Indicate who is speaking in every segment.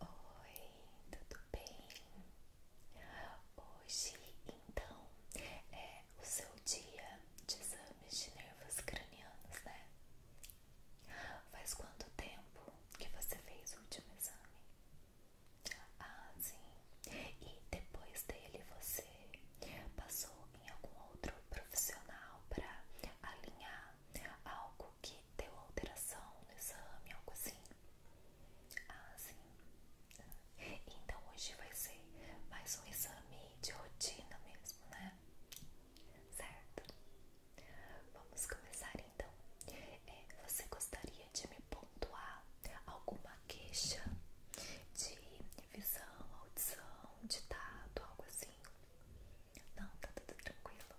Speaker 1: Oi, tudo bem? Hoje, então, é o seu dia de exames de nervos cranianos, né? Faz quanto tempo que você fez o último exame? Ah, sim. E depois dele você passou em algum outro profissional para alinhar algo que que deu alteração no exame, algo assim. Ah, sim. Então hoje vai ser mais um exame de rotina mesmo, né? Certo? Vamos começar então. É, você gostaria de me pontuar alguma queixa de visão, audição, ditado, algo assim? Não, tá tudo tranquilo.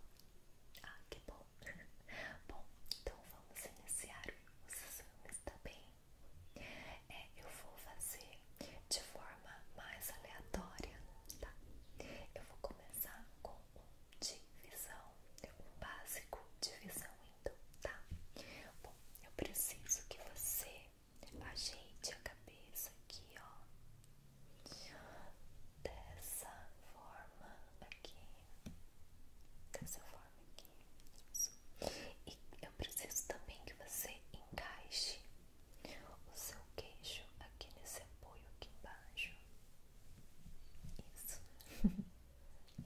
Speaker 1: Ah, que bom. bom, então vamos iniciar. O Suzano está bem? É, eu vou fazer de forma mais aleatória, tá? Eu vou começar com um divisão, um básico divisão, indo então, tá? Bom, eu preciso que você ajeite a cabeça aqui, ó dessa forma aqui, dessa forma aqui, isso. E eu preciso também que você encaixe o seu queixo aqui nesse apoio aqui embaixo. Isso,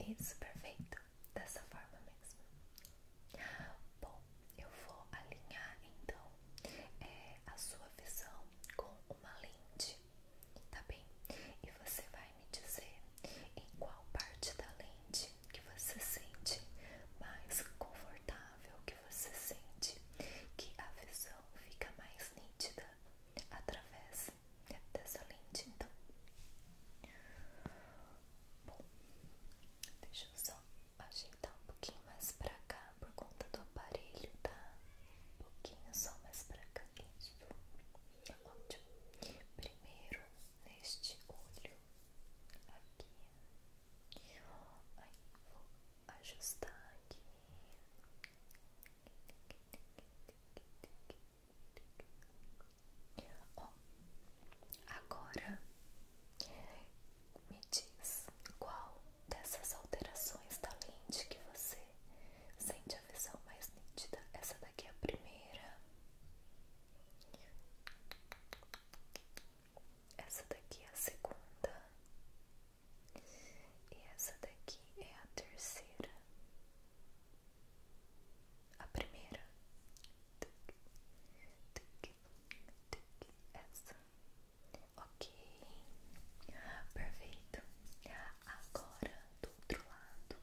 Speaker 1: isso, perfeito, dessa forma mesmo. Bom, eu vou alinhar então é, a sua visão com uma lente, tá bem? E você vai me dizer em qual parte da lente que você sente mais confortável, que você sente que a visão fica mais nítida através dessa lente, então. Bom, deixa eu só ajeitar um pouquinho mais pra cá por conta do aparelho, tá? um pouquinho só mais pra cá, isso, ótimo, primeiro neste olho aqui, aí vou ajustar aqui, ó, agora me diz qual dessas alterações da lente que você sente a visão mais nítida. Essa daqui é a primeira. Essa daqui é a segunda. E essa daqui é a terceira. A primeira. Essa. Ok, perfeito. Agora do outro lado,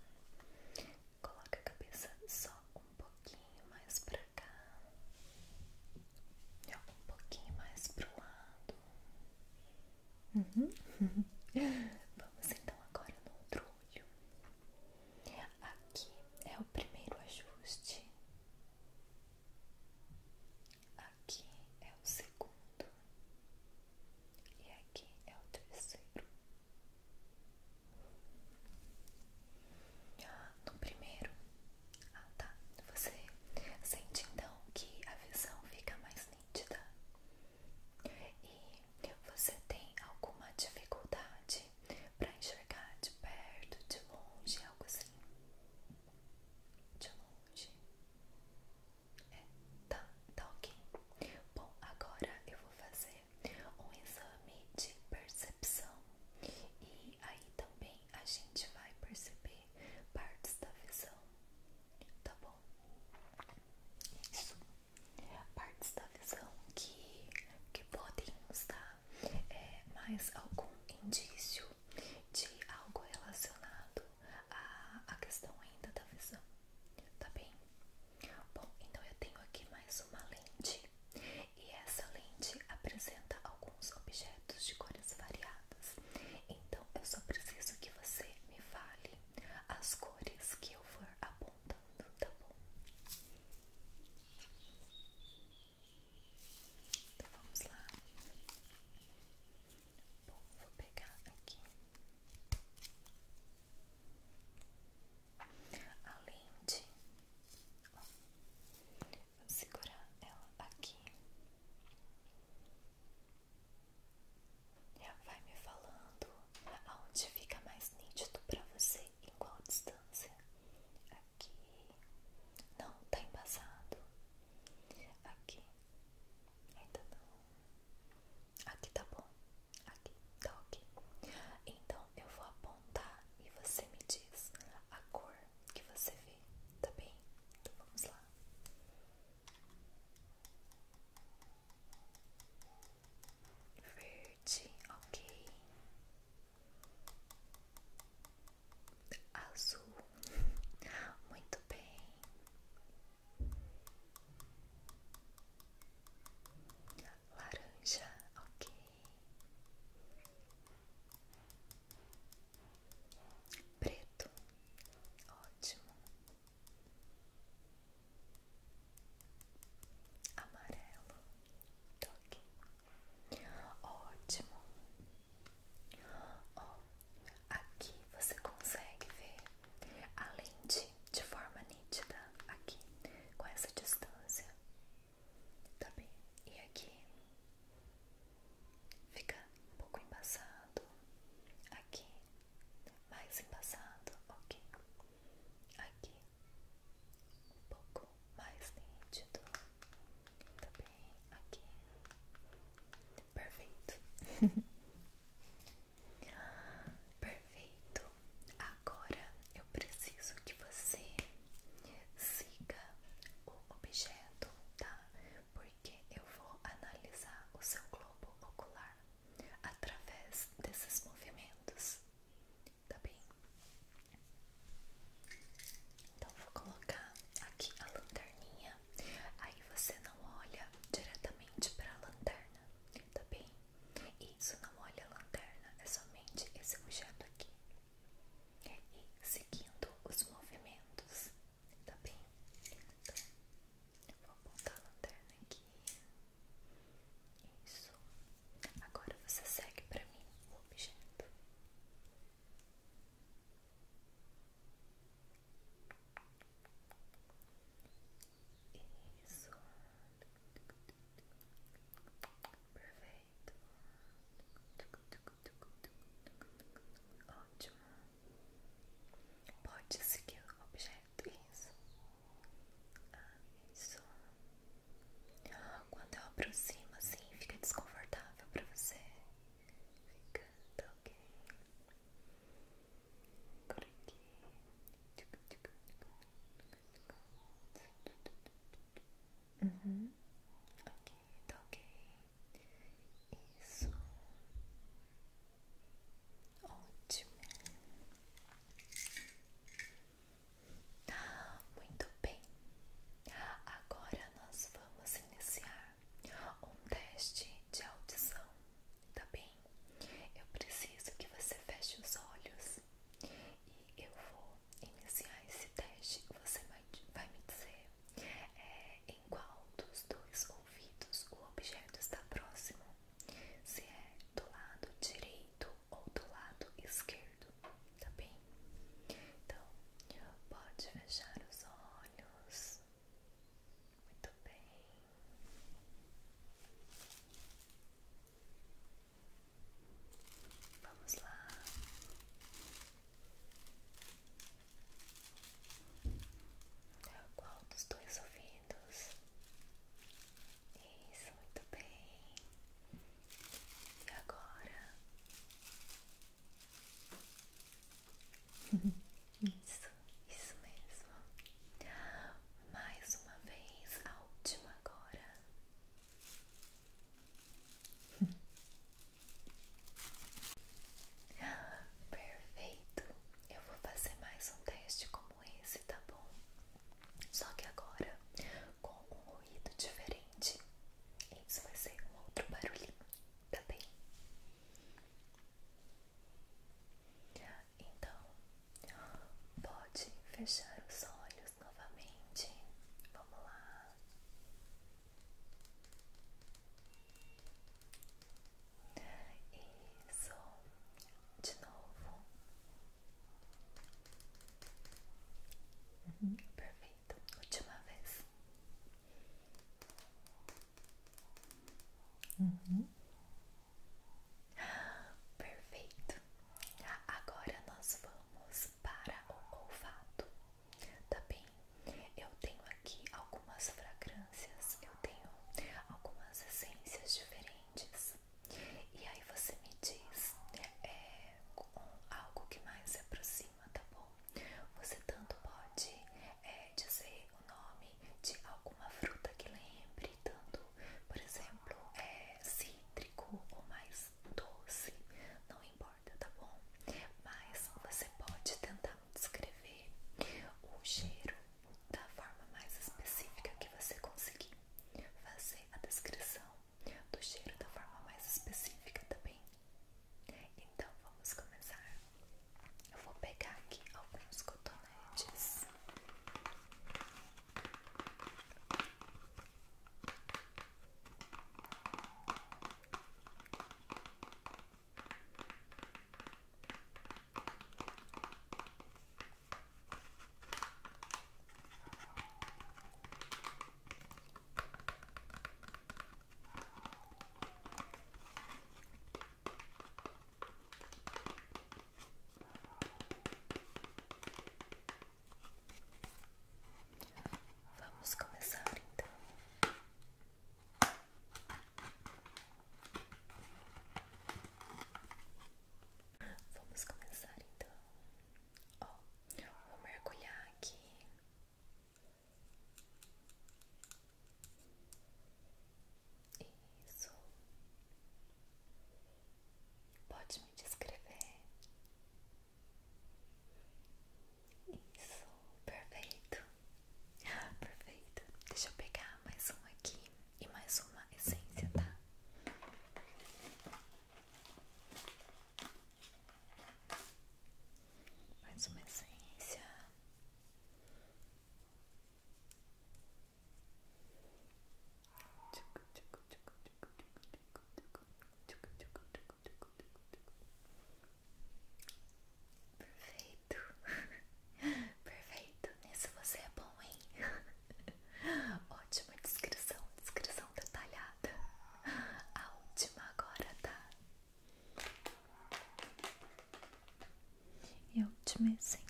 Speaker 1: coloca a cabeça só um pouquinho mais para cá, um pouquinho mais pro lado. Uhum. Vamos então agora no outro olho. Aqui é o primeiro ajuste. Aqui é o segundo e aqui é o terceiro. Ah, no primeiro, ah tá, você sente então que a visão fica mais nítida e você tem alguma dificuldade para enxergar de perto, de longe, algo assim. De longe onde? É, tá, tá ok. Bom, agora eu vou fazer um exame de percepção e aí também a gente vai perceber partes da visão, tá bom? Isso, partes da visão que, que podem nos dar é, mais algum indício de algo relacionado à, à questão ainda da visão, tá bem? Bom, então eu tenho aqui mais uma lente e essa lente apresenta alguns objetos de cores variadas. Então eu só preciso que você me fale as cores que eu for apontando, tá bom? Então vamos lá vou pegar aqui. além de segurar ela aqui. já vai me falando aonde fica mais nítido para você, em qual distância. Aqui, não tá embaçado. Aqui ainda não. Aqui tá bom. Aqui tá ok. Então eu vou apontar e você me diz a cor que você vê, tá bem? Então vamos lá. Verde, ok azul. Muito bem. Laranja, ok. Preto, ótimo. Amarelo, toque. Ótimo aqui você consegue ver a lente de forma nítida aqui com essa distância, tá E aqui fica um pouco embaçado, aqui mais embaçado, ok? Aqui um pouco mais nítido. Tá bem, aqui. Perfeito. Perfeito. Agora eu preciso que você siga o objeto, tá? Porque eu vou analisar o seu globo ocular através desses movimentos, tá bem? Então vou colocar aqui a lanterninha Aí você não olha diretamente para a lanterna, tá bem? Isso não olha a lanterna, é somente esse objeto aqui. E seguindo os movimentos, tá bem? Então, vou apontar a lanterna aqui. Isso. Agora você segue para mim o objeto. Isso. Perfeito. Ótimo. Pode seguir o objeto. Isso. isso. Quando eu aproximo assim, fica desconfortável para você ficando ok por aqui uhum. ok, tá ok isso ótimo tá muito bem, agora nós vamos iniciar um teste de audição, tá bem? Eu preciso que você feche os olhos e eu vou iniciar esse teste. Você vai me dizer é, em qual dos dois ouvidos o objeto está próximo, se é do lado direito ou do lado esquerdo, tá bem? Então, pode fechar os olhos. Muito bem. Vamos lá. Qual dos dois ouvidos? Isso, muito bem. E agora? Isso, isso mesmo. Mais uma vez, a última agora. Perfeito. Eu vou fazer mais um teste como esse, tá bom? Só que agora com um ruído diferente. Isso vai ser um outro barulhinho. Tá bem? Então, pode fechar os olhos novamente. Vamos lá. Isso. De novo. Uhum, perfeito. Perfeito, última vez. Uhum. Perfeito. Agora nós vamos para o olfato, tá bem? Eu tenho aqui algumas fragrâncias, eu tenho algumas essências diferentes. E aí você me diz é, algo que mais se aproxima tá bom? Você tanto pode é, dizer o nome de alguma fruta que lembre, tanto, por exemplo, é, cítrico ou mais doce, não importa, tá bom? Mas você pode tentar descrever o cheiro da forma mais específica que você conseguir fazer a descrição do cheiro da forma mais específica também tá então vamos começar. Eu vou pegar aqui alguns cotonetes. Vamos começar então. Vamos começar então. Ó, oh, vou mergulhar aqui isso. Pode me descrever. Isso, perfeito. Perfeito. Deixa eu pegar mais um aqui e mais uma essência, tá? Mais uma essência. Perfeito, perfeito. Nisso você é bom, hein? Ótima descrição, descrição detalhada. A última agora tá e a última essência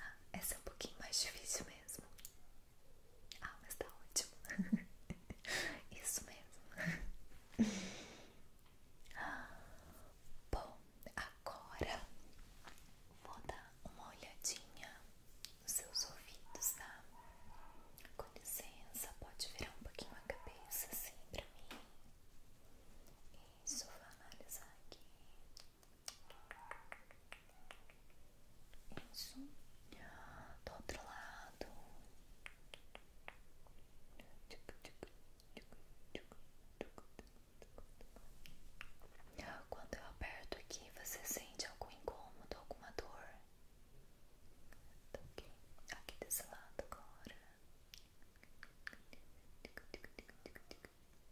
Speaker 1: ah, essa é um pouquinho mais difícil mesmo ah, mas tá ótimo isso mesmo ah, Bom, Agora vou dar uma olhadinha nos seus ouvidos, tá? Com licença, pode virar um pouquinho a cabeça assim pra mim. Isso, vou analisar aqui. Isso. Do outro lado. Quando eu aperto aqui, você sente algum incômodo, alguma dor? ok, aqui desse lado agora.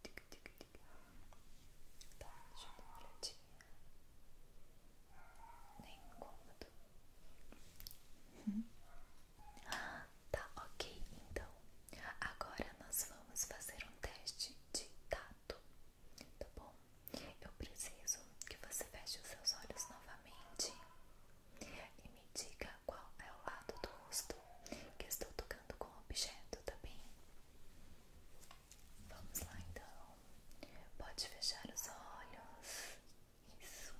Speaker 1: Tá, deixa eu dar uma olhadinha. Nem incômodo. Uhum. Tá ok, então. Agora nós vamos fazer um teste de tato, tá bom? Eu preciso que você feche os seus olhos novamente e me diga qual é o lado do rosto que estou tocando com o objeto, tá bem? Vamos lá então. Pode fechar os olhos. Isso.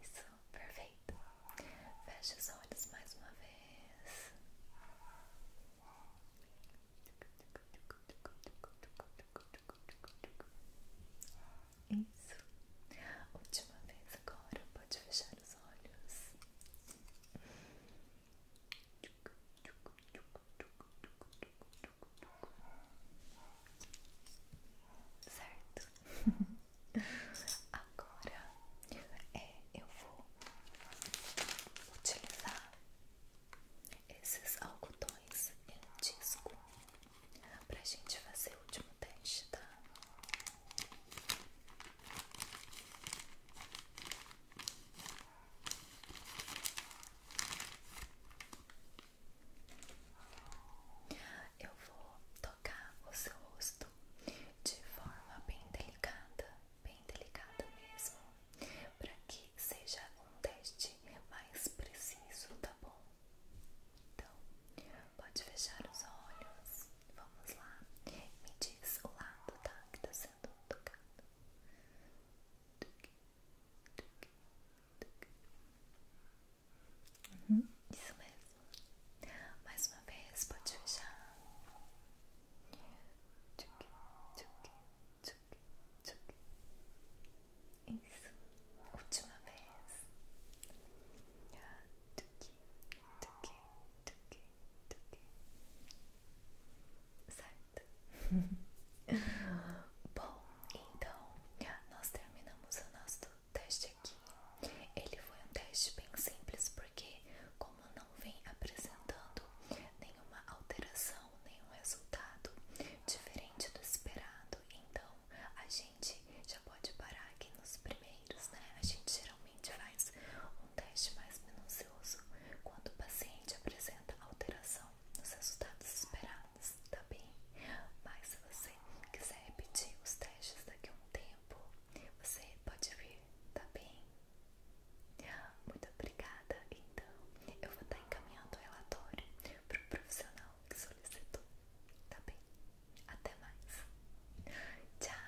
Speaker 1: Isso, perfeito. fecha os olhos mais uma vez. Isso. Última vez agora, pode fechar os olhos. Certo? Agora é, eu vou utilizar esses algodões em um disco pra gente fazer o último teste, tá? Eu vou tocar o seu rosto de forma bem delicada, bem delicada mesmo, para que seja um teste mais preciso, tá bom? Então, pode fechar os olhos. Vamos lá. Me diz o lado, tá? Que tá sendo tocado. Uhum, isso mesmo. Mais uma vez, pode fechar. Isso. Última vez. Sabe Bom, então nós terminamos o nosso teste aqui. Ele foi um teste bem simples porque, como não vem apresentando nenhuma alteração, nenhum resultado diferente do esperado, então a gente já pode parar aqui nos primeiros, né? A gente geralmente faz um teste mais minucioso quando o paciente apresenta alteração nos resultados esperados, tá bem? Mas se você quiser repetir os testes daqui a um tempo, você pode vir, tá bem? Muito obrigada, então eu vou estar tá encaminhando o relatório para o profissional que solicitou, tá bem? Até mais! Tchau!